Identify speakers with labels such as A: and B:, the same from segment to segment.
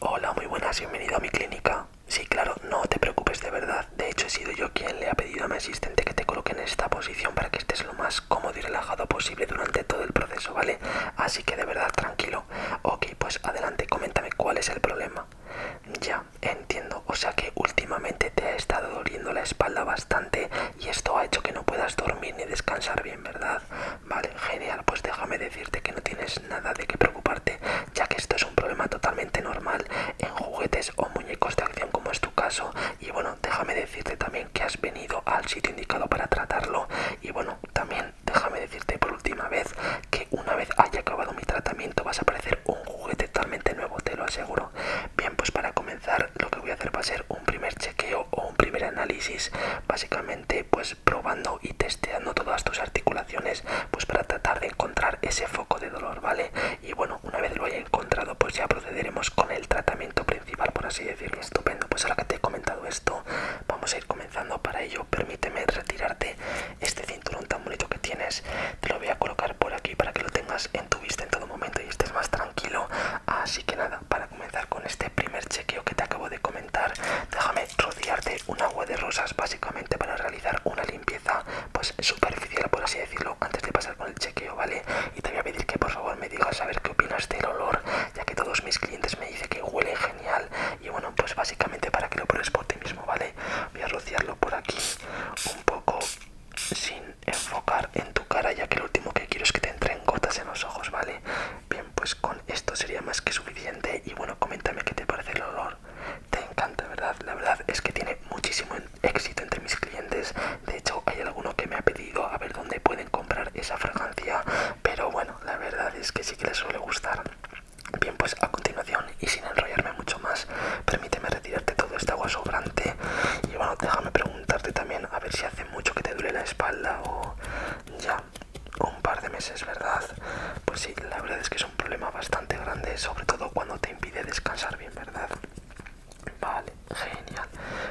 A: Hola, muy buenas, bienvenido a mi clínica. Sí, claro, no te preocupes de verdad. De hecho, he sido yo quien le ha pedido a mi asistente que te coloque en esta posición para que estés lo más cómodo y relajado posible durante todo el proceso, ¿vale? Así que de verdad, tranquilo. Ok, pues adelante, coméntame cuál es el problema. Ya, entiendo. O sea que últimamente te ha estado doliendo la espalda bastante y esto ha hecho que no puedas dormir ni descansar bien, ¿verdad? Vale, genial, pues déjame decirte que no tienes nada de qué preocuparte, ya que esto es un problema totalmente normal en juguetes o muñecos de acción como es tu caso. Y bueno, déjame decirte también que has venido al sitio indicado para tratarlo. Y bueno, también déjame decirte por última vez que una vez haya acabado mi tratamiento vas a aparecer un juguete totalmente nuevo, te lo aseguro. Bien, pues para comenzar lo que voy a hacer va a ser un primer chequeo o un primer análisis, básicamente pues probando y testeando todas tus articulaciones pues para tratar de encontrar ese foco de dolor, ¿vale? Y bueno, una vez lo haya encontrado pues ya procederemos con el tratamiento principal, por así decirlo. Estupendo, pues ahora que te he comentado esto, vamos a ir comenzando. Para ello, permíteme retirarte este cinturón tan bonito que tienes. Te lo voy a colocar por aquí para que lo tengas en tu vista en todo momento y estés más tranquilo. Así que nada, para comenzar con este primer chequeo que te acabo de comentar, déjame rodearte un agua de rosas básicamente para realizar una limpieza pues superficial por así decirlo antes de pasar con el chequeo vale y te voy a pedir que por favor me digas a ver qué opinas del olor ya que todos mis clientes me dicen que huele genial y bueno pues básicamente para que lo pruebes por ti mismo vale voy a rociarlo por aquí un poco sin enfocar en tu cara ya que lo último que quiero es que te entren gotas en los ojos vale bien pues con esto sería más que suficiente. Y bueno, coméntame qué te parece el olor. Te encanta, ¿verdad? La verdad es que tiene muchísimo éxito entre mis clientes. De hecho, hay alguno que me ha pedido a ver dónde pueden comprar esa fragancia. Pero bueno, la verdad es que sí que les suele gustar. Bien, pues a continuación y sin enrollarme mucho más, permíteme retirarte todo este agua sobrante. Y bueno, déjame preguntarte también a ver si hace mucho que te duele la espalda o ya, un par de meses, ¿verdad? Pues sí, la verdad es que es un problema bastante grande, sobre todo cuando te impide descansar bien, ¿verdad? Vale, genial.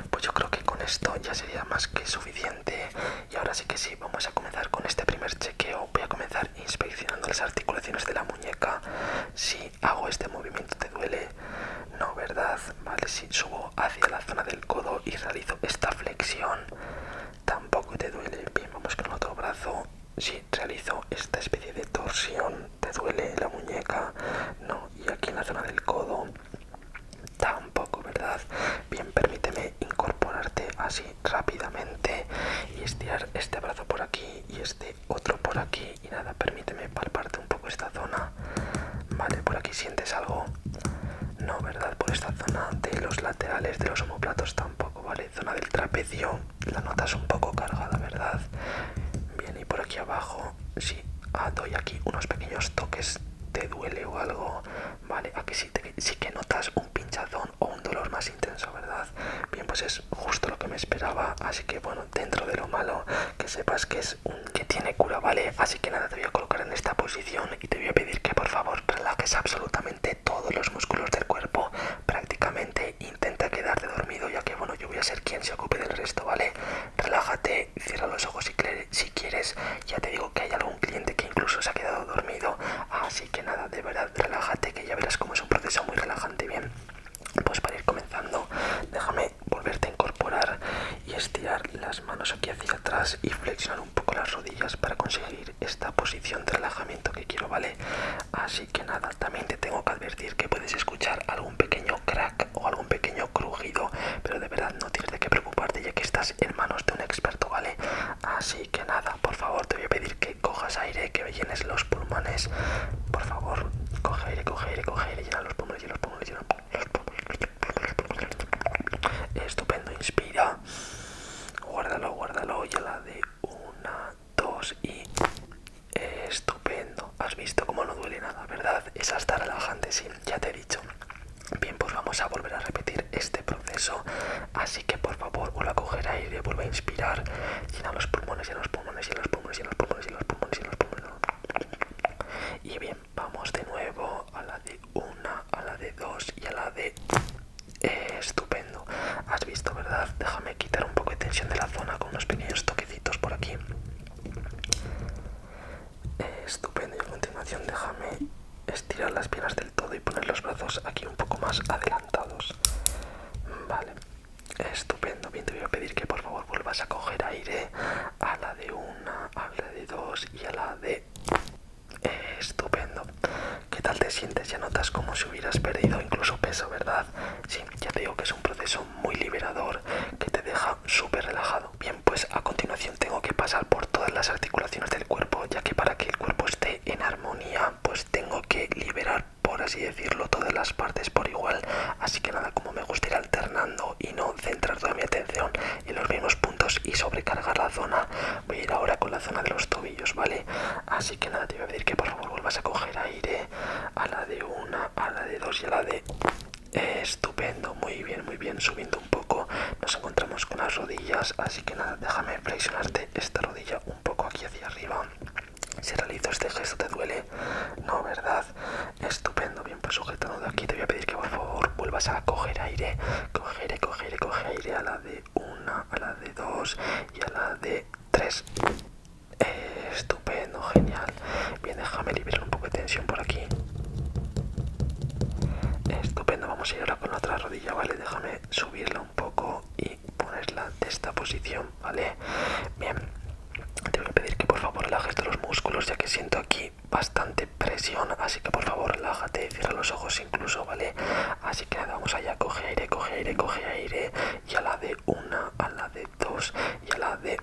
A: Pues yo creo que con esto ya sería más que suficiente. Y ahora sí que sí, vamos a comenzar con este primer chequeo. Voy a comenzar inspeccionando las articulaciones de la muñeca. Si hago este movimiento, ¿te duele? No, ¿verdad? Vale, si subo hacia la zona del codo y realizo esta flexión tampoco te duele. Bien, vamos con otro brazo. Si realizo esta especie de torsión, te duele la muñeca, no, y aquí en la zona del codo tampoco, ¿verdad? Bien, permíteme incorporarte así rápidamente y estirar este brazo por aquí y este otro por aquí. Y nada, permíteme palparte un poco esta zona. Vale, por aquí sientes algo. No, ¿verdad? Por esta zona de los laterales de los omoplatos tampoco, ¿vale? Zona del trapecio, la nota es un poco cargada, ¿verdad? Bien, y por aquí abajo, sí, ah, doy aquí unos pequeños toques, te duele o algo, ¿vale? Aquí sí, sí que notas un pinchazón o un dolor más intenso, ¿verdad? Bien, pues es justo lo que me esperaba, así que bueno, dentro de lo malo, que sepas que es un que tiene cura, ¿vale? Así que nada, te voy a colocar en esta posición y te voy a pedir que por favor relajes absolutamente todos los músculos del cuerpo. Prácticamente intenta quedarte dormido ya que bueno yo voy a ser quien se ocupe del resto, ¿vale? Relájate, cierra los ojos si, quieres. Ya te digo que hay algún cliente que incluso se ha quedado dormido. Así que nada, de verdad, relájate que ya verás cómo es un proceso muy relajante, bien. Pues para ir comenzando, déjame volverte a incorporar y estirar las manos aquí hacia atrás y flexionar un poco las rodillas para conseguir esta posición de relajamiento que quiero, ¿vale? Así que nada, también te tengo que advertir que puedes escuchar algún pequeño crack o algún pequeño crujido, pero de verdad no tienes de qué preocuparte ya que estás en manos de un experto, ¿vale? Así que nada, por favor, te voy a pedir que cojas aire, que llenes los pulmones. Por favor, coge aire, coge aire, coge aire, llena los pulmones, llena los pulmones, llena los pulmones. Estupendo, inspira. Guárdalo, guárdalo. Y la de una, dos y. Estupendo. Has visto cómo no duele nada, ¿verdad? Es hasta relajante, sí, ya te he dicho. Bien, pues vamos a volver a repetir este proceso. Así que por favor, vuelve a coger aire, vuelve a inspirar. Llena los pulmones, y los pulmones, llena los pulmones, llena los pulmones, llena los pulmones, llena los pulmones. Y bien vamos de nuevo a la de una, a la de dos y a la de... Eh, estupendo. Has visto, ¿verdad? Déjame quitar un poco de tensión de la zona con unos pequeños toquecitos por aquí. Eh, estupendo. Y a continuación déjame estirar las piernas del todo y poner los brazos aquí un poco más adelantados. Vale. Estupendo. Bien, te voy a pedir que por favor vuelvas a coger aire a la de una, a la de dos y a la de... estupendo. ¿Qué tal te sientes? Ya notas como si hubieras perdido incluso peso, ¿verdad? Sí, ya te digo que es un proceso muy liberador que te deja súper relajado. Bien, pues a continuación tengo que pasar por todas las articulaciones del cuerpo, ya que para que el cuerpo esté en armonía, pues tengo que liberar, por así decirlo, todas las partes por igual. Así que nada, como me gusta ir alternando y no centrar toda mi atención en los mismos puntos y sobrecargar la zona. Voy a ir ahora con la zona de los tobillos, ¿vale? Así que nada, te voy a pedir que por favor vuelvas a coger aire a la de una, a la de dos y a la de... estupendo, muy bien, muy bien, subiendo un poco. Nos encontramos con las rodillas, así que nada, déjame flexionarte esta rodilla un poco aquí hacia arriba. Si realizo este gesto te duele, no, ¿verdad? Estupendo, bien pues sujetando de aquí. Te voy a pedir que por favor vuelvas a coger aire. Coger, coger, coger aire a la de una, a la de dos y a la de tres. estupendo, genial. Bien, déjame liberar un poco de tensión por aquí. Estupendo, vamos a ir ahora con la otra rodilla, ¿vale? Déjame subirla un poco y ponerla de esta posición, ¿vale? Bien, te voy a pedir que por favor relajes los músculos ya que siento aquí bastante presión, así que por favor relájate, cierra los ojos incluso, ¿vale? Así que nada, vamos allá, coge aire, coge aire, coge aire, y a la de una, a la de dos, y a la de...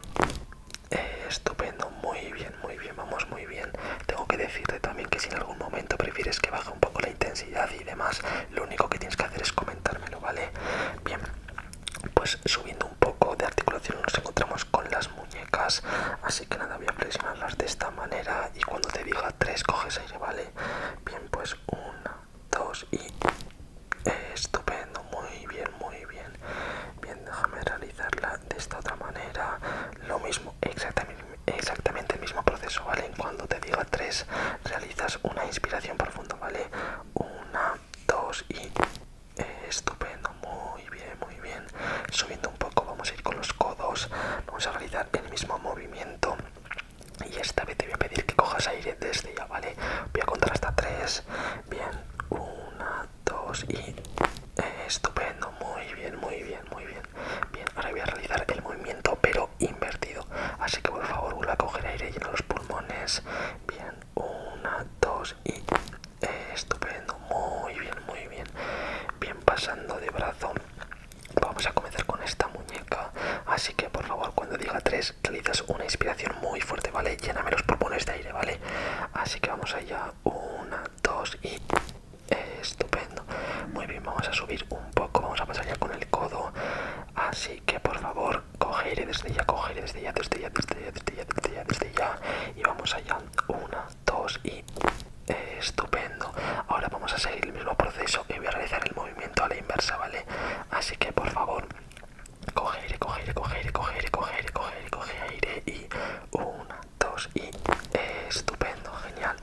A: Eh, estupendo, muy bien, muy bien, vamos muy bien. Tengo que decirte también que si en algún momento prefieres que baje un poco la intensidad y demás, lo único que tienes que hacer es comentármelo, ¿vale? Bien, pues subiendo un poco de articulación nos encontramos con las muñecas así que nada voy a flexionarlas de esta manera y cuando te diga 3 coges aire vale bien pues 1 2 y estupendo muy bien muy bien bien déjame realizarla de esta otra manera lo mismo exactamente exactamente el mismo proceso vale cuando te diga 3 realizas una inspiración profunda vale 1 2 y estupendo, muy bien, muy bien. Subiendo un poco, vamos a ir con los codos, vamos a realizar el mismo movimiento. Y esta vez te voy a pedir que cojas aire desde ya, ¿vale? Voy a contar hasta tres. Bien, una, dos y... estupendo, muy bien, muy bien, muy bien. Bien, ahora voy a realizar el movimiento pero invertido. Así que por favor vuelve a coger aire, lleno los pulmones. Bien, una, dos y eh, estupendo, muy bien, muy bien, bien pasando de brazo. Vamos a comenzar con esta muñeca, así que por favor cuando diga tres Realizas una inspiración muy fuerte, ¿vale? Lléname los pulmones de aire, ¿vale? Así que vamos allá, una, dos y estupendo. Muy bien, vamos a subir un poco, vamos a pasar ya con el codo, así que por favor aire desde ya, aire desde ya, desde ya, desde ya, desde ya, desde ya, desde ya. Y vamos allá. Una, dos y estupendo. Ahora vamos a seguir el mismo proceso y voy a realizar el movimiento a la inversa, ¿vale? Así que por favor, aire, coge aire, coge aire, coge aire y una, dos y estupendo, genial.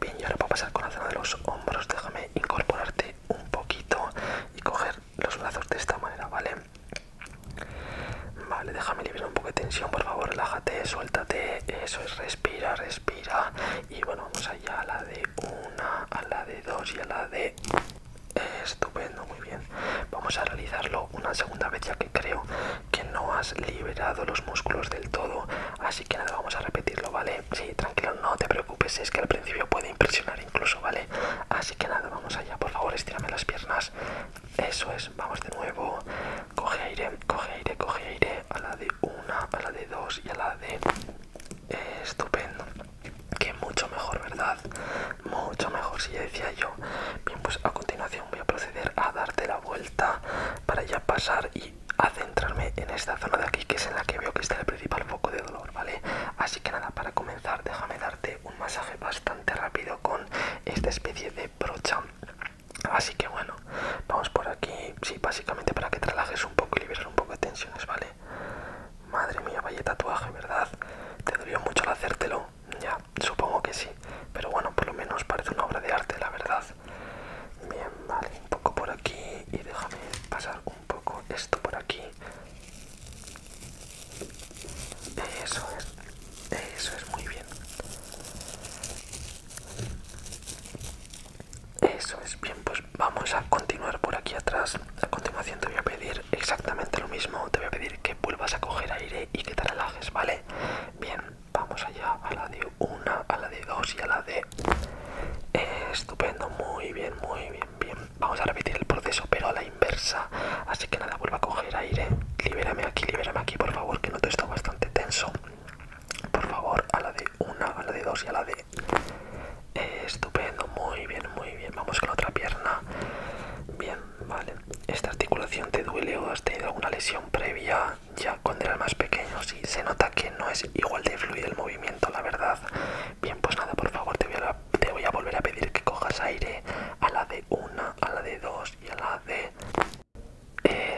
A: Bien, y ahora puedo pasar con la zona de los hombros. Déjame incorporarte un poquito y coger los brazos de esta manera, ¿vale? Vale, déjame liberar un poco de tensión, por favor, relájate, suéltate, eso es, respira, respira. Y bueno, vamos allá a la de una, a la de dos y a la de... Estupendo, muy bien. Vamos a realizarlo una segunda vez ya que creo que no has liberado los músculos del todo. Así que nada, vamos a repetirlo, ¿vale? Sí, tranquilo, no te preocupes, es que al principio puede impresionar incluso, ¿vale? Así que nada, vamos allá, por favor, estírame las piernas. Eso es, vamos de nuevo. Coge aire, coge aire, coge aire. A la de una, a la de dos y a la de... Eh, estupendo. Que mucho mejor, ¿verdad? Mucho mejor, si ya decía yo. Bien, pues a continuación voy a proceder a darte la vuelta para ya pasar y a centrarme en esta zona de aquí, que es en la que veo que está el principal foco de dolor, ¿vale? Así que nada, para comenzar, déjame darte un masaje bastante rápido con esta especie de brocha. Así que bueno, vamos por aquí, sí, básicamente para que te relajes un poco y liberar un poco de tensiones, ¿vale? Madre mía, vaya tatuaje, ¿verdad? ¿Te dolió mucho al hacértelo? Ya, supongo que sí, pero bueno, por lo menos parece una obra de arte, la verdad. Bien, vale, un poco por aquí y déjame pasar un poco esto por aquí. Eso es, eso es muy bien. Eso es bien, pues vamos a continuar por aquí atrás. A continuación te voy a pedir exactamente lo mismo. Te voy a pedir que vuelvas a coger aire y que te relajes, ¿vale? Bien, vamos allá a la de una, a la de dos y a la de... estupendo, muy bien, muy bien, Bien, vamos a repetir el proceso, pero a la inversa. Así que nada, vuelva a coger aire. Libérame aquí, libérame aquí, por favor, que noto esto bastante tenso. Por favor, a la de una, a la de dos y a la de. Eh, estupendo, muy bien, muy bien. Vamos con otra pierna. Bien, vale. ¿Esta articulación te duele o has tenido alguna lesión previa ya cuando eras más pequeño? Sí, se nota que no es igual de fluido el movimiento, la verdad. Bien, pues nada, por favor, te voy a te voy a volver a pedir que cojas aire a la de una, a la de dos y a la de...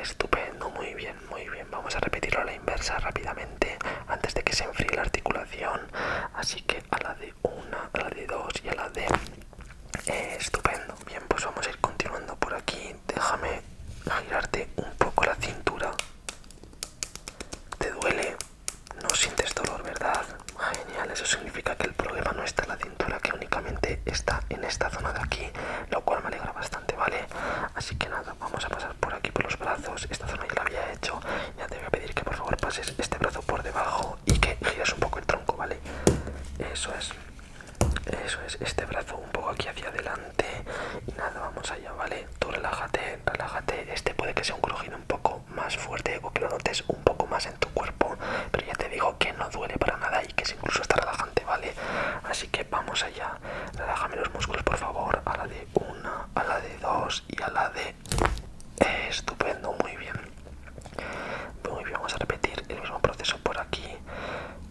A: estupendo, muy bien, muy bien. Vamos a repetirlo a la inversa rápidamente antes de que se enfríe la articulación. Así que a la de una, a la de dos y a la de... estupendo. Bien, pues vamos a ir continuando por aquí. Déjame girarte un poco la cintura. ¿Te duele? No sientes dolor, ¿verdad? Genial, eso significa que el problema no está en la cintura, que únicamente está en esta zona de aquí, lo cual me alegra bastante, ¿vale? Así que nada, vamos a pasar por aquí por los brazos, esta zona ya la había hecho, ya te voy a pedir que por favor pases este brazo por debajo y que gires un poco el tronco, ¿vale? Eso es, eso es, este brazo un poco aquí hacia adelante y nada, vamos allá, ¿vale? Tú relájate relájate, Este puede que sea un crujido un poco más fuerte o que lo notes un poco más en tu cuerpo, pero ya te digo que no duele para nada y que es incluso está relajante, ¿vale? Así que vamos allá. Relájame los músculos, por favor, a la de una, a la de dos y a la de... estupendo, muy bien. Muy bien, vamos a repetir el mismo proceso por aquí.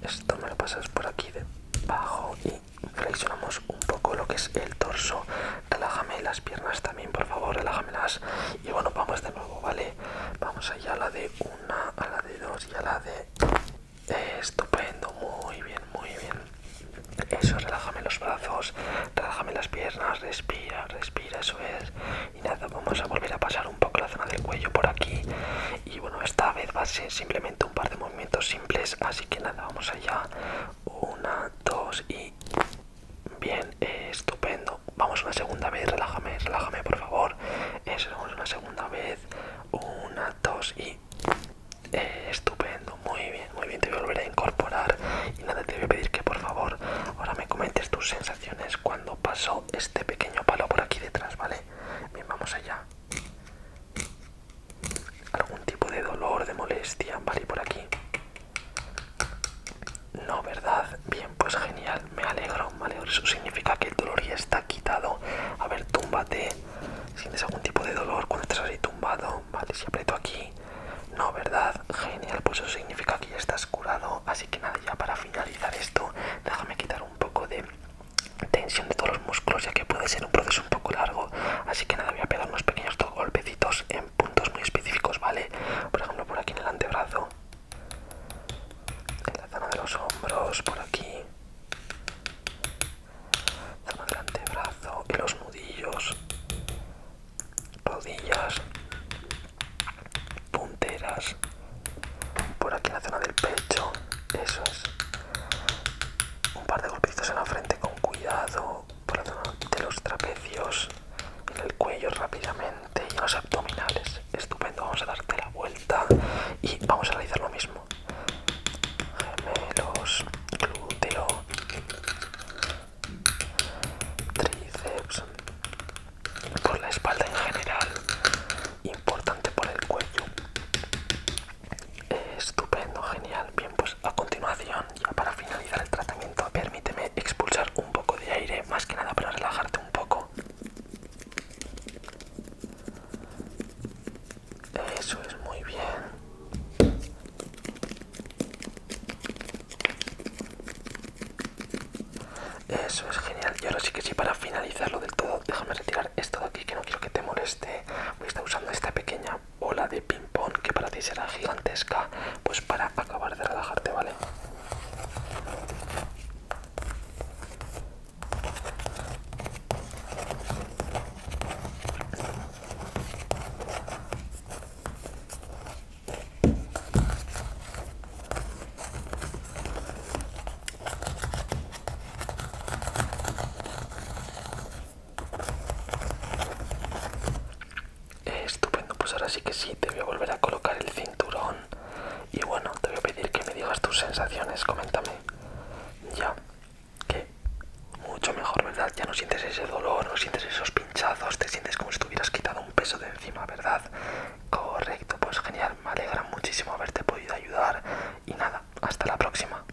A: Esto me lo pasas por aquí De debajo y flexionamos un poco lo que es el torso. Relájame las piernas por favor, relájame las Y bueno, vamos de nuevo, ¿vale? Vamos allá a la de una, a la de dos y a la de... estupendo, muy bien, muy bien. Eso, relájame los brazos, relájame las piernas, respira, respira, eso es. Y nada, vamos a volver a pasar un poco la zona del cuello por aquí. Y bueno, esta vez va a ser simplemente un par de movimientos simples, así que nada, vamos allá. Una, dos y... Bien, estupendo. Vamos una segunda vez, relájame, relájame por favor. Eso, vamos una segunda vez. Una, dos y... Eh, estupendo, muy bien, muy bien, te voy a volver a incorporar y nada, te voy a pedir que por favor ahora me comentes tus sensaciones cuando pasó este pequeño palo por aquí detrás, ¿vale? Bien, vamos allá algún tipo de dolor, de molestia, vale, por aquí. No, ¿verdad? Bien, pues genial, me alegro, vale Eso significa que el dolor ya está quitado. A ver, túmbate. ¿Sientes algún tipo de dolor cuando estás así tumbado? Vale, si aprieto aquí. No, ¿verdad? Genial, pues eso significa que ya estás curado. Así que nada, ya para finalizar esto, déjame quitar un poco de tensión de todos los músculos, ya que puede ser un proceso un poco largo. Así que nada, voy a pegar unos pequeños golpecitos en puntos muy específicos, ¿vale? Por ejemplo, por aquí en el antebrazo, en la zona de los hombros, por aquí, zona del antebrazo, en los nudillos, rodillas, punteras, por aquí en la zona del pecho, eso es. Un par de golpecitos en la frente con cuidado, por de los trapecios, en el cuello rápidamente y los abdominales. Estupendo, vamos a darte la vuelta y vamos a realizar lo mismo. Gemelos, glúteo, tríceps, por la espalda en general, importante por el cuello estupendo, genial. Bien, pues a continuación, ya para finalizar el tratamiento, permíteme expulsar un poco de aire, más que nada para relajarte un poco. Eso es muy bien. Eso es genial. Y ahora sí que sí, para finalizarlo del todo, déjame retirar esto de aquí que no quiero que te moleste. Voy a estar usando esta pequeña ola de ping pong que para ti será gigantesca pues para acabar de relajarte vale Estupendo, pues ahora sí que sí, te voy a volver a colocar el cinturón y bueno, te voy a pedir que me digas tus sensaciones, coméntame. Ya, que mucho mejor, ¿verdad? Ya no sientes ese dolor, no sientes esos pinchazos, te sientes como si hubieras quitado un peso de encima, ¿verdad? Correcto, pues genial, me alegra muchísimo haberte podido ayudar y nada, hasta la próxima.